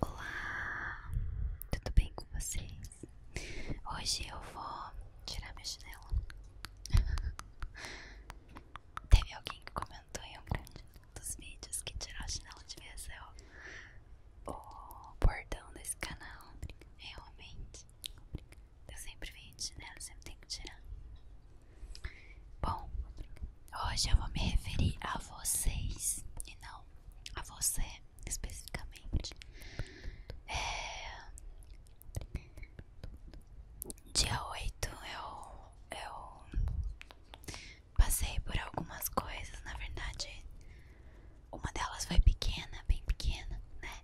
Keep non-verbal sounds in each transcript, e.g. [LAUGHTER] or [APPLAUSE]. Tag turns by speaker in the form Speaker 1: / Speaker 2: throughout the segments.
Speaker 1: Olá, tudo bem com vocês? Hoje eu vou tirar meu chinelo. [LAUGHS] Teve alguém que comentou em um grande dos vídeos que tirar o chinelo devia ser o, o bordão desse canal. Realmente, eu sempre venho de chinelo, sempre tenho que tirar. Bom, Hoje eu vou me referir a vocês e não a você especificamente. É... Dia 8 eu, eu passei por algumas coisas, na verdade. Uma delas foi pequena, bem pequena, né?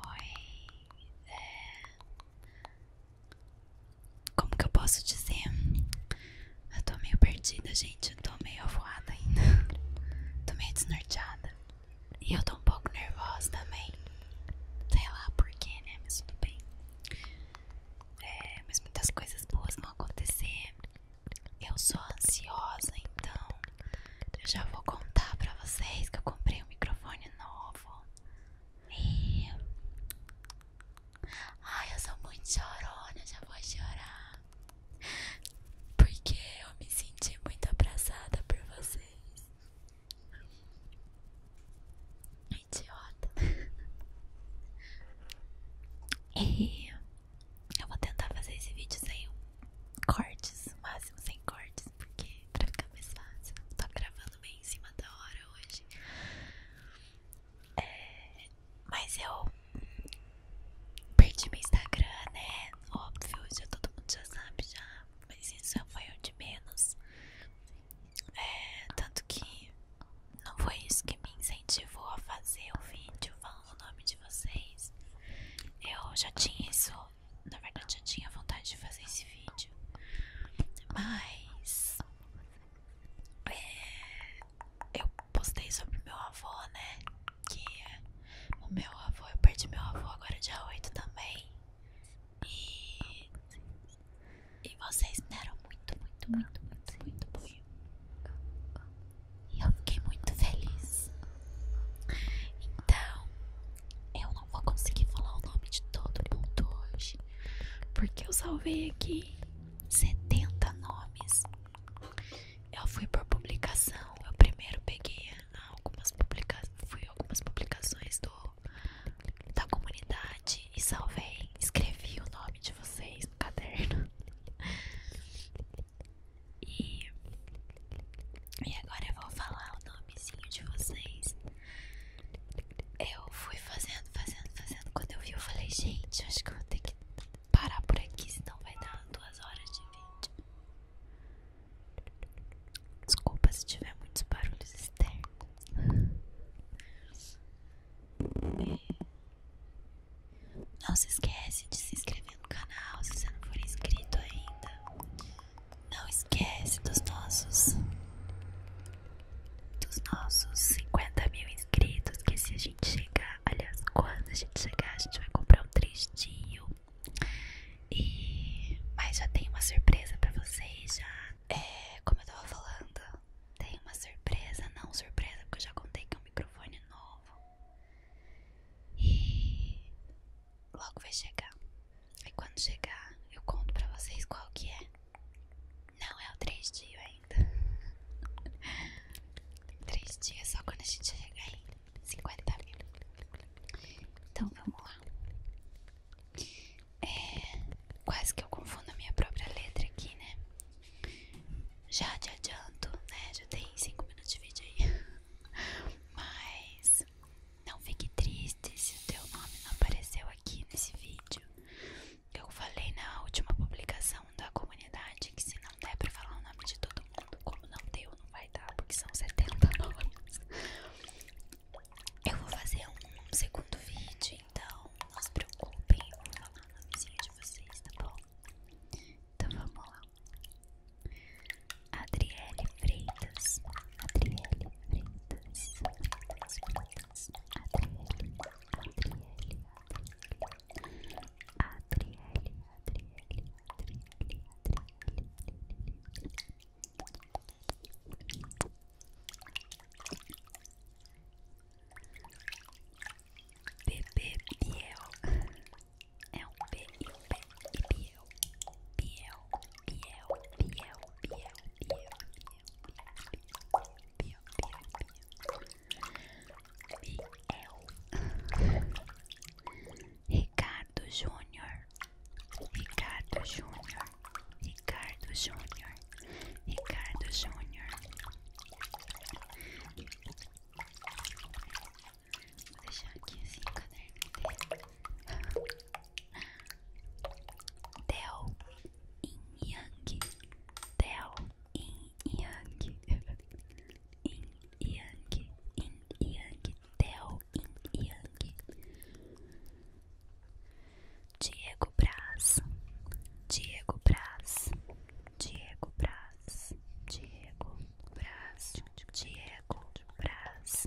Speaker 1: Foi. É... Como que eu posso dizer? Eu tô meio perdida, gente. Eu tô meio avoada ainda. tô meio desnorteada. E eu tô um pouco nervosa também. Sei lá porquê, né? Mas tudo bem. É, mas muitas coisas boas vão acontecer. Eu sou ansiosa, então eu já vou contar pra vocês que eu comprei um microfone novo. E Ai, eu sou muito chorona, já vou chorar. Porque eu me senti muito abraçada por vocês. Idiota. [LAUGHS] E eu vou tentar fazer esse vídeo sem cortes, no máximo sem cortes, porque pra ficar mais fácil. Tô gravando bem em cima da hora hoje. É, mas eu perdi meu Instagram, né? Óbvio, já todo mundo já sabe já. Mas isso foi um de menos. É, tanto que não foi isso que me incentivou a fazer o vídeo falando o nome de vocês. Eu já tinha isso, na verdade já tinha vontade de fazer esse vídeo. Mas é, eu postei sobre meu avô, né? Que o meu avô, eu perdi meu avô agora dia 8 também. E, e vocês deram muito, muito, muito, muito, muito apoio. E eu fiquei muito feliz. Então, eu não vou conseguir falar o nome de todo mundo hoje. Porque eu salvei aqui 70 nomes. Eu fui por publicação. Eu primeiro peguei ah, algumas publicações, fui algumas publicações do da comunidade e salvei, escrevi o nome de vocês no caderno. [LAUGHS] E, e agora eu vou falar o nomezinho de vocês eu fui fazendo, fazendo, fazendo. Quando eu vi, eu falei, gente, acho que eu vou ter que parar por aqui, senão vai dar duas horas de vídeo. Desculpa se tiver muitos barulhos externos. É. Não se esquece de se inscrever no canal se você não for inscrito ainda. Não esquece dos nossos dos nossos 50 mil inscritos. Que se a gente chegar, aliás, quando a gente chegar, a gente vai comprar um tristinho. E. Mas já tem uma surpresa pra vocês, já. É, como eu tava falando, tem uma surpresa, não surpresa, porque eu já contei que é um microfone novo. E. Logo vai chegar. aí quando chegar, eu conto pra vocês qual que é. Não é o três dias ainda. [LAUGHS] três dias só quando a gente chegar em 50 mil. Então vamos lá. É, quase que eu confundo a minha própria letra aqui, né? Já te adianto, né? Já tem 5 minutos de vídeo aí. [LAUGHS] Mas não fique triste se o teu nome não apareceu aqui nesse vídeo. Eu falei na última publicação da comunidade que se não der pra falar o nome de todo mundo, como não deu, não vai dar, porque são 70 nomes. Eu vou fazer um segundo vídeo, então não se preocupem, eu vou falar o nomezinho de vocês, tá bom? Então vamos lá. Adriele Freitas. Adriele Freitas. Freitas. Bebê Biel é um B e um B e Biel, Biel, Biel, Biel, Biel, Biel, Biel. Biel, Ricardo Júnior, Ricardo Júnior, Ricardo Júnior, Ricardo Júnior. Vou deixar aqui assim caderno Del Yin Yang Del Yin Yang Yin Yang Yin Yang Del Yin Yang Diego Braz Diego Braz Diego Braz Diego Braz Diego Braz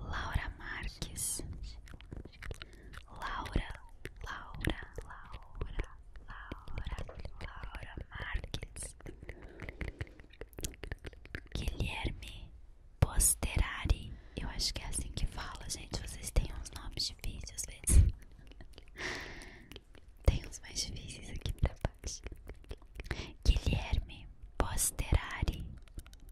Speaker 1: Laura Marques, Laura, Laura, Laura, Laura, Marques, Guilherme Posterari, eu acho que é assim que fala, gente. Vocês têm uns nomes difíceis às vezes. Tem uns mais difíceis aqui pra baixo. Guilherme Posterari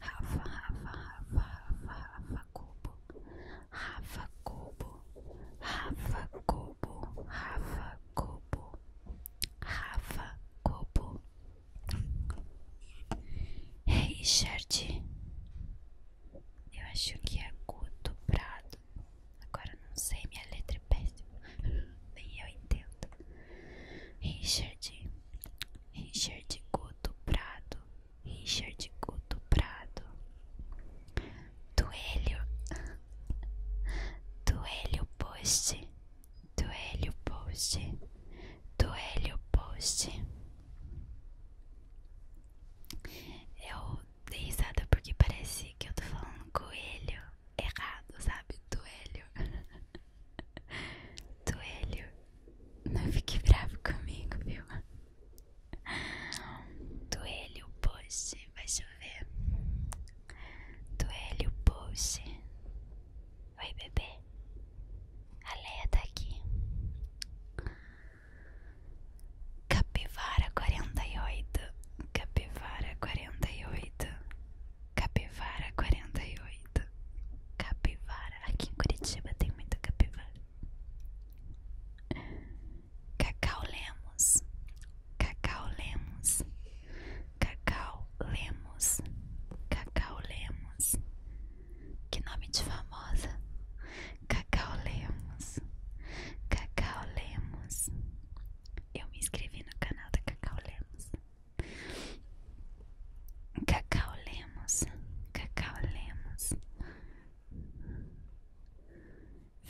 Speaker 1: Rafa, Rafa, Rafa, Rafa, Rafa Cubo, Rafa Cubo, Rafa Cubo, Rafa Cubo, Rafa Cubo, Richard, eu acho que é Guto Prado, agora não sei, minha letra é péssima, [LAUGHS] nem eu entendo, Richard, Richard Guto Prado Richard Guto Prado, Duelho, Duelho Post, Duelho Post, Duelho Post. Eu dei risada porque parece que eu tô falando coelho errado, sabe? Duelho, [LAUGHS] Duelho, não fique bravo comigo, viu? Duele o post, vai chover. Duele o post. Oi, bebê. A Leia tá aqui. Capivara 48. Capivara 48. Capivara 48 capivara. Aqui em Curitiba tem muita capivara. Cacau Lemos. Cacau Lemos. Cacau Lemos. Cacau Lemos. Que nome de famosa. Cacau Lemos. Cacau Lemos. Eu me inscrevi no canal da Cacau Lemos. Cacau Lemos, Cacau Lemos,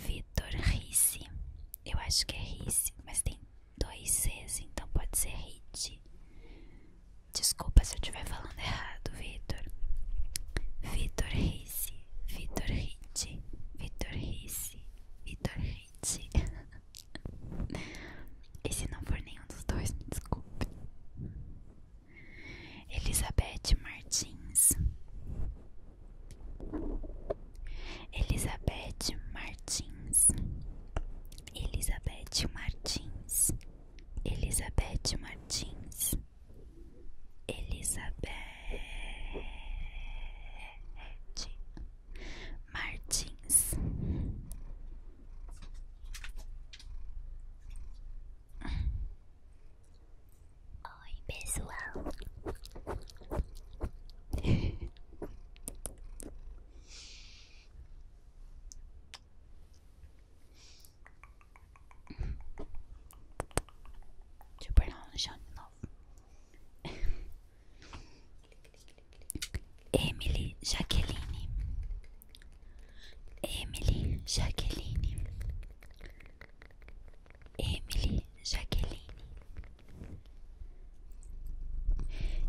Speaker 1: Vitor Risse, eu acho que é Risse, mas tem dois Cs, então pode ser Rite. Desculpa se eu estiver falando errado, Vitor. Vitor Risse, Vitor Rite, Vitor Risse, Vitor Rite. [LAUGHS] E se não for nenhum dos dois, desculpe. Elizabeth Martins, Elizabeth Martins, Elizabeth Martins, Elizabeth Martins, Elizabeth Martins, Oi, pessoal. Deixa eu pôr ela no de novo. Emily Jaqueline Emily Jacqueline Emily Jacqueline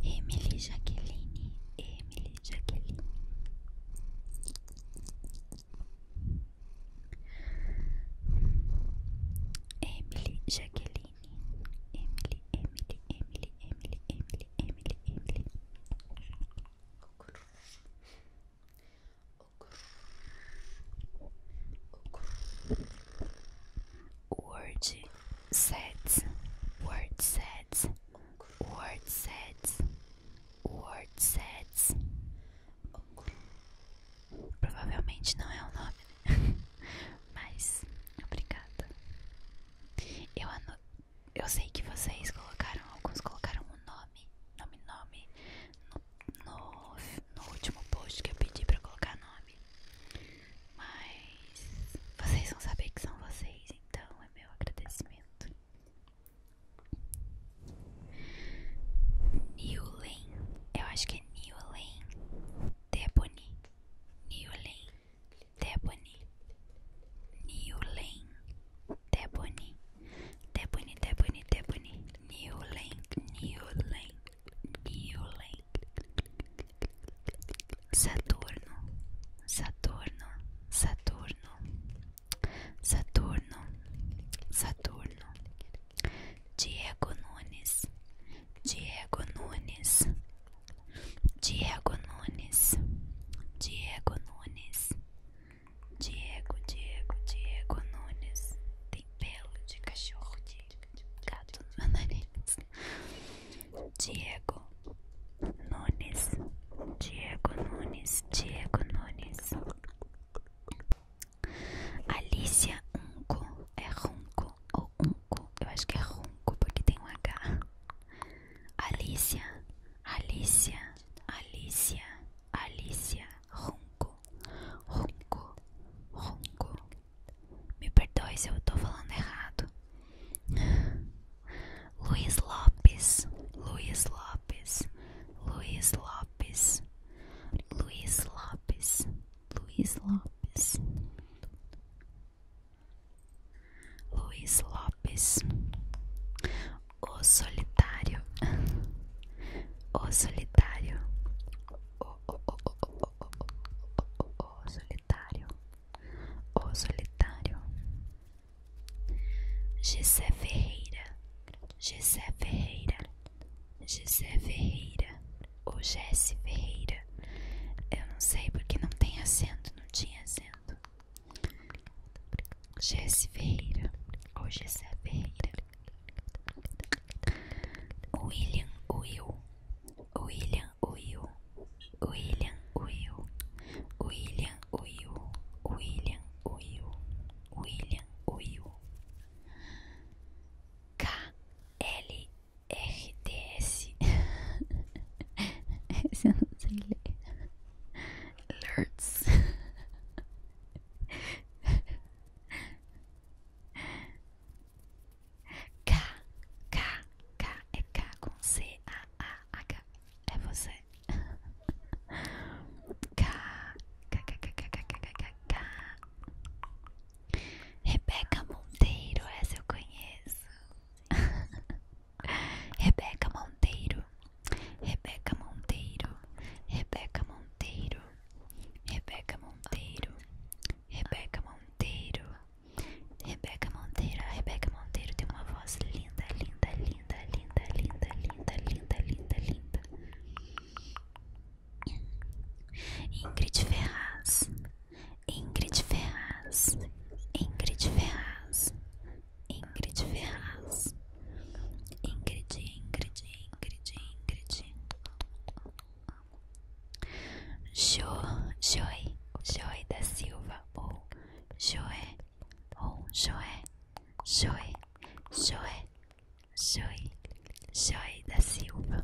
Speaker 1: Emily Jacqueline Emily Jacqueline Emily Jacqueline Emily Emily Emily Emily Emily Emily Emily Word sets, word sets, word sets, word sets. Provavelmente não é o nome, né? [LAUGHS] mas obrigada. Eu anotei eu sei que vocês colocaram, alguns colocaram o um nome, nome, nome, no, último post que eu pedi pra colocar nome. Mas vocês vão saber que são vocês, então é meu agradecimento. Niulen, eu acho que é Niulen Deboni. Niulen Debony, Newlane, Debony, Debony, Debony, Debony, Newlane, Newlane, Newlane, Saturno, Saturno, Saturno, Saturno, Saturno, Diego Nunes, Diego Nunes. Diego Nunes, Diego Nunes, Diego, Diego, Diego Nunes. Tem pelo de cachorro, de gato no meu nariz. Diego Nunes, Diego Nunes, Diego Nunes. Alicia Unco, é Runco ou um eu acho que é Ronco porque tem um H. Alicia, Alicia, Alicia, Alicia, Ronco, Ronco, Ronco. Me perdoe se eu estou falando errado. Luiz Lopes, Luiz Lopes, Luiz Lopes, Luiz Lopes, Luiz Lopes. Luiz Lopes, o solitário, o solitário, o, o, o, o, o, o, o, o solitário, o solitário, Gisé Ferreira, Gisé Ferreira, Gisé Ferreira, o Jesse Ferreira. Eu não sei porque não tem acento não tinha sendo assento. Gessiveira ou Gessiveira. William Will. William Will. William Will. William Will. William Will. William Will. K L RDS. Esse eu não sei ler. Lurts. K, K, K, é K com C, A, A, H, é você. K, K, K, K, K, K, K, K, K. Rebeca Monteiro, essa eu conheço. [LAUGHS] Rebeca Monteiro, Rebeca Monteiro, Rebeca Monteiro, Rebeca Monteiro, Rebeca Monteiro, Rebeca Monteiro, ah, Rebeca Monteiro tem uma voz linda, linda, linda, linda, linda, linda, linda, linda, linda. Ingrid Ferraz, Ingrid Ferraz, Ingrid Ferraz, Ingrid Ferraz, Ingrid, Ingrid, Ingrid, Ingrid, Jo, Joy, Joy da Silva ou Joé, ou Joé, Joé, Joé, Joy, Joy da Silva.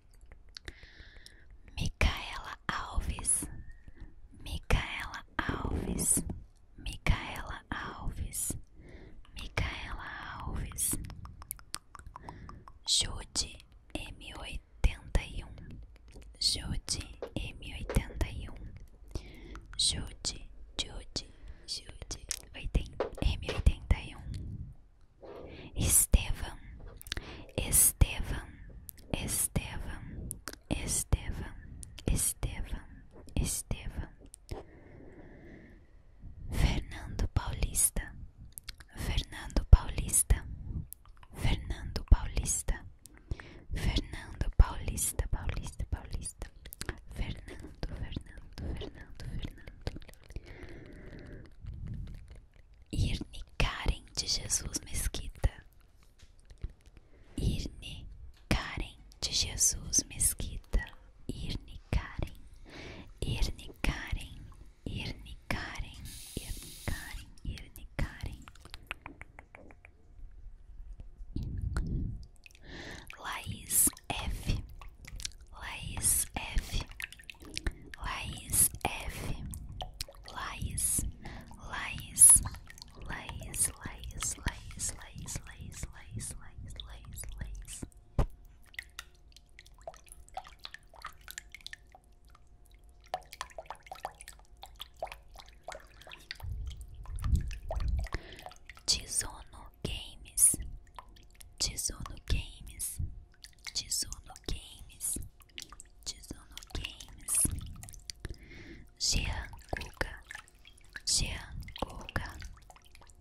Speaker 1: Micaela Alves, Micaela Alves, Micaela Alves, Micaela Alves, Jude M81, Jude M81, Jude, Jude, oitenta m um. Estevam, Estevam, Estevam, Estevam, Estevam, Estevam, Fernando Paulista, Fernando Paulista, Fernando Paulista, Fernando Paulista, Paulista, Paulista, Fernando, Fernando, Fernando, Fernando. Irne Karen de Jesus Mesquita. Irne Karen de Jesus Mesquita. Irne Karen. Irne Karen. Irne Karen. Irne Karen. Irne Karen. Laís F. Laís F. Laís F. Laís, Laís, Laís, Laís, Laís, Laís, Laís, Laís, Laís, Laís, Laís. Tizono Games, Tizono Games. Tizuno Games, Tizuno Games, Gian Guga, Gian Guga,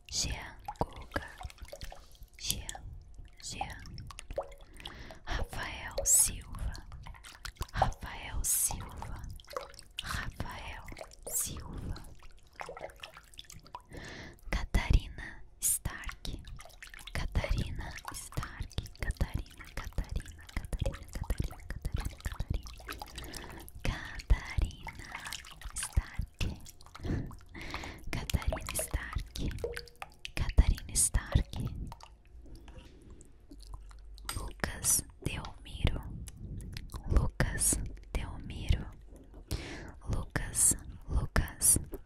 Speaker 1: Gian Guga, Gian, Gian, Rafael Silva, Rafael Silva, Rafael Silva, Catarina Stark, Catarina Stark, Catarina, Catarina, Catarina, Catarina, Catarina, Catarina, Catarina Stark, Catarina Stark, Catarina Stark, Lucas Delmiro, Lucas Delmiro, Lucas, Lucas,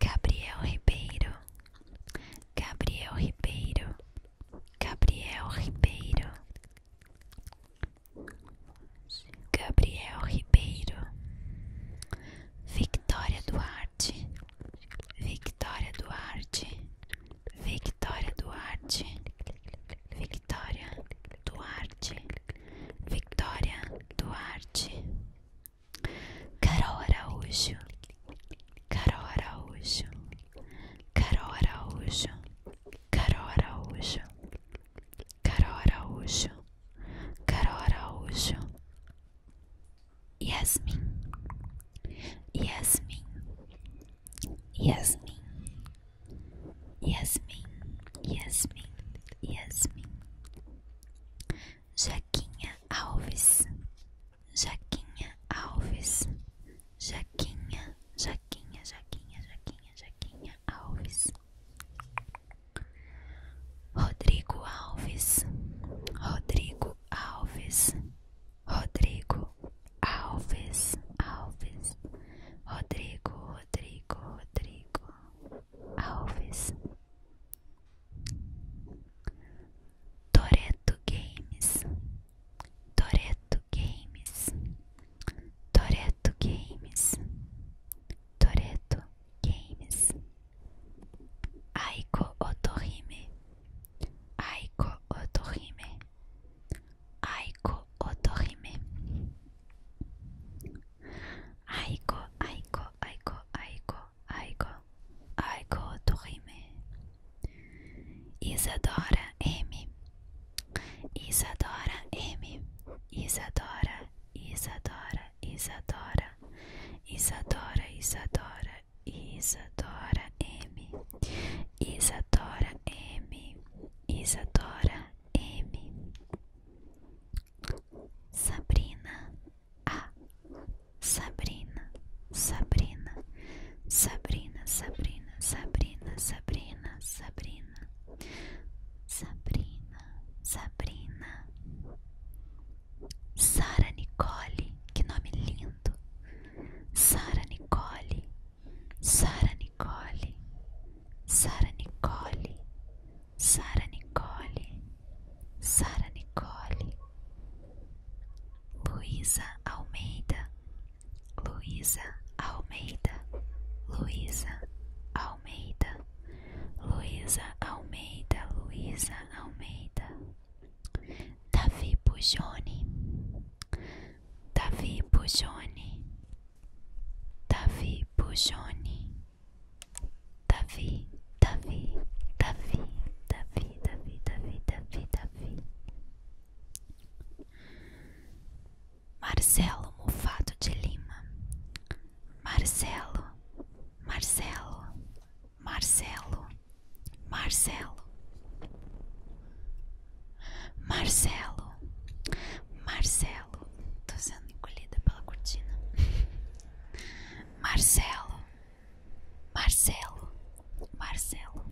Speaker 1: Gabriel Ribeiro, Gabriel Ribeiro, Gabriel Ribeiro, Gabriel Ribeiro, Victoria Duarte, Victoria Duarte, Victoria Duarte, Victoria Duarte. Victoria Duarte, Victoria Duarte, Carol Araújo, Carol Araújo, Carol Araújo, Carol Araújo, Carol Araújo, Carol Araújo, Yasmin, Yasmin, Yasmin. Yasmin, Yasmin, Yasmin. Jaquinha Alves, Jaquinha Alves, Jaquinha, Jaquinha, Jaquinha, Jaquinha, Jaquinha Alves. Rodrigo Alves, Rodrigo Alves, Rodrigo Alves, Alves, Rodrigo, Rodrigo Rodrigo Alves Toreto Games Toreto Games Toreto Games Toreto Games Aiko Otorime Aiko Otorime Aiko Otohime Aiko, Aiko, Aiko, Aiko, Aiko Aiko Otohime Isadora M Isadora M Isadora, Isadora, Isadora Isadora, Isadora, Isadora M Isadora M Isadora M Sabrina A Sabrina Sabrina Sabrina Sabrina Sabrina Sabrina Sabrina Sabrina Sabrina Sara Nicole Que nome lindo Sara Nicole Sara Nicole, Sara Nicole, Sara Nicole, Sara Nicole, Luísa Almeida, Luísa Almeida, Luísa Almeida, Luísa Almeida, Luísa Almeida, Davi Pujone, Davi Pujone. Davi Bujoni Davi, Davi, Davi, Davi, Davi, Davi, Davi, Davi Marcelo Mufato de Lima Marcelo, Marcelo, Marcelo, Marcelo Marcelo, Marcelo, tô sendo encolhida pela cortina. Marcelo, Marcelo, Marcelo,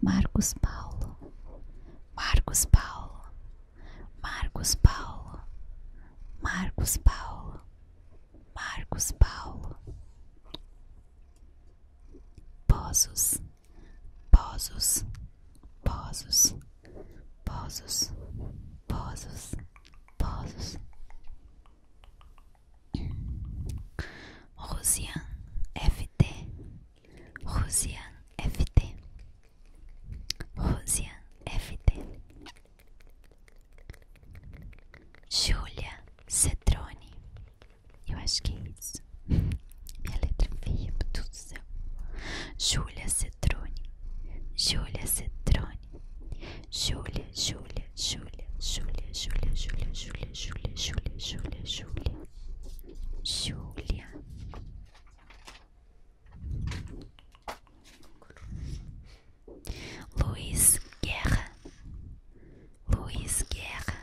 Speaker 1: Marcos Paulo, Marcos Paulo, Marcos Paulo, Marcos Paulo, Marcos Paulo, Poços. Pozos, pozos, pozos, pozos, pozos. Rosian FT, Rosian FT, Rosian FT. Júlia Cetrone eu acho que é isso. Minha letra feia, meu Deus do céu. Julia Cetrone. Julia Cetrone. Julia Julia Julia Julia Julia Julia Julia Julia Julia Julia Júlia. Júlia. Luiz Guerra. Luiz Guerra.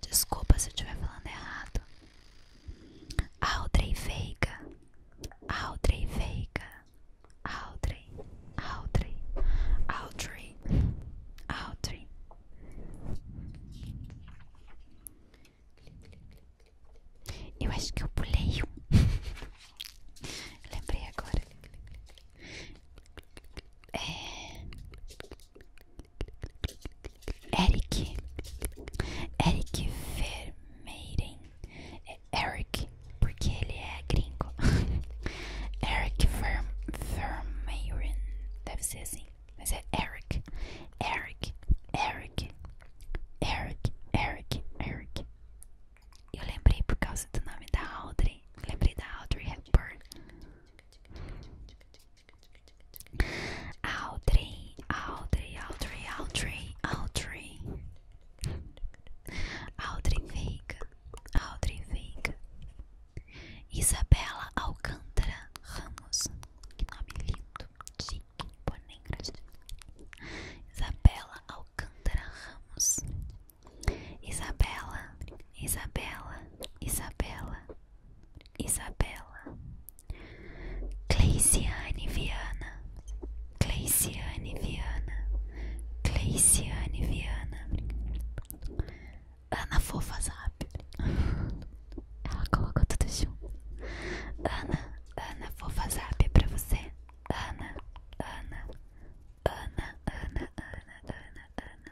Speaker 1: Desculpa se eu estiver falando errado. Audrey Veiga. Audrey Veiga. Audrey. Audrey. Audrey. Audrey. Eu acho que eu pulei um. Lembrei agora. É... Eric Eric Vermeiren é Eric porque ele é gringo [LAUGHS] Eric Ver, Vermeiren deve ser assim mas é Eric Eric Eric Eric Eric Eric eu lembrei por causa do nome da Audrey lembrei da Audrey Hepburn Audrey, Audrey, Audrey, Audrey, Audrey. Audrey Veiga, Audrey Veiga. Isabela Alcântara Ramos. Que nome lindo. Chique, porém Isabela Alcântara Ramos. Isabela, Isabela, Isabela, Isabela, Cleiciane Viana, Cleiciane Viana, Cleiciane Viana, Ana Fofa ela colocou tudo junto, Ana, Ana Fofa para você, Ana, Ana, Ana, Ana, Ana, Ana, Ana,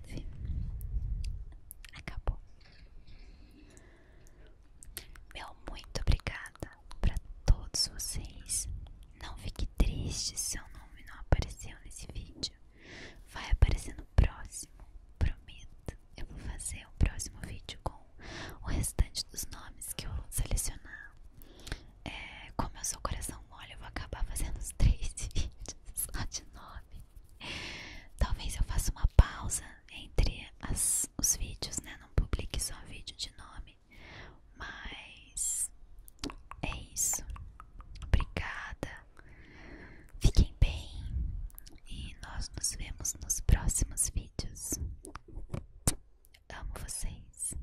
Speaker 1: Acabou. Meu muito obrigada para todos vocês. Não fique triste se seu nome não apareceu nesse vídeo. Vai aparecer no próximo, prometo. Eu vou fazer o próximo vídeo com o restante dos nomes que eu vou selecionar. É, como eu sou coração mole, eu vou acabar fazendo uns três [LAUGHS] vídeos só de nome. Talvez eu faça uma pausa entre as, os vídeos, né? Não publique só vídeo de nome. Mas é isso. Obrigada. Fiquem bem. E nós nos vemos nos próximos vídeos. Amo vocês.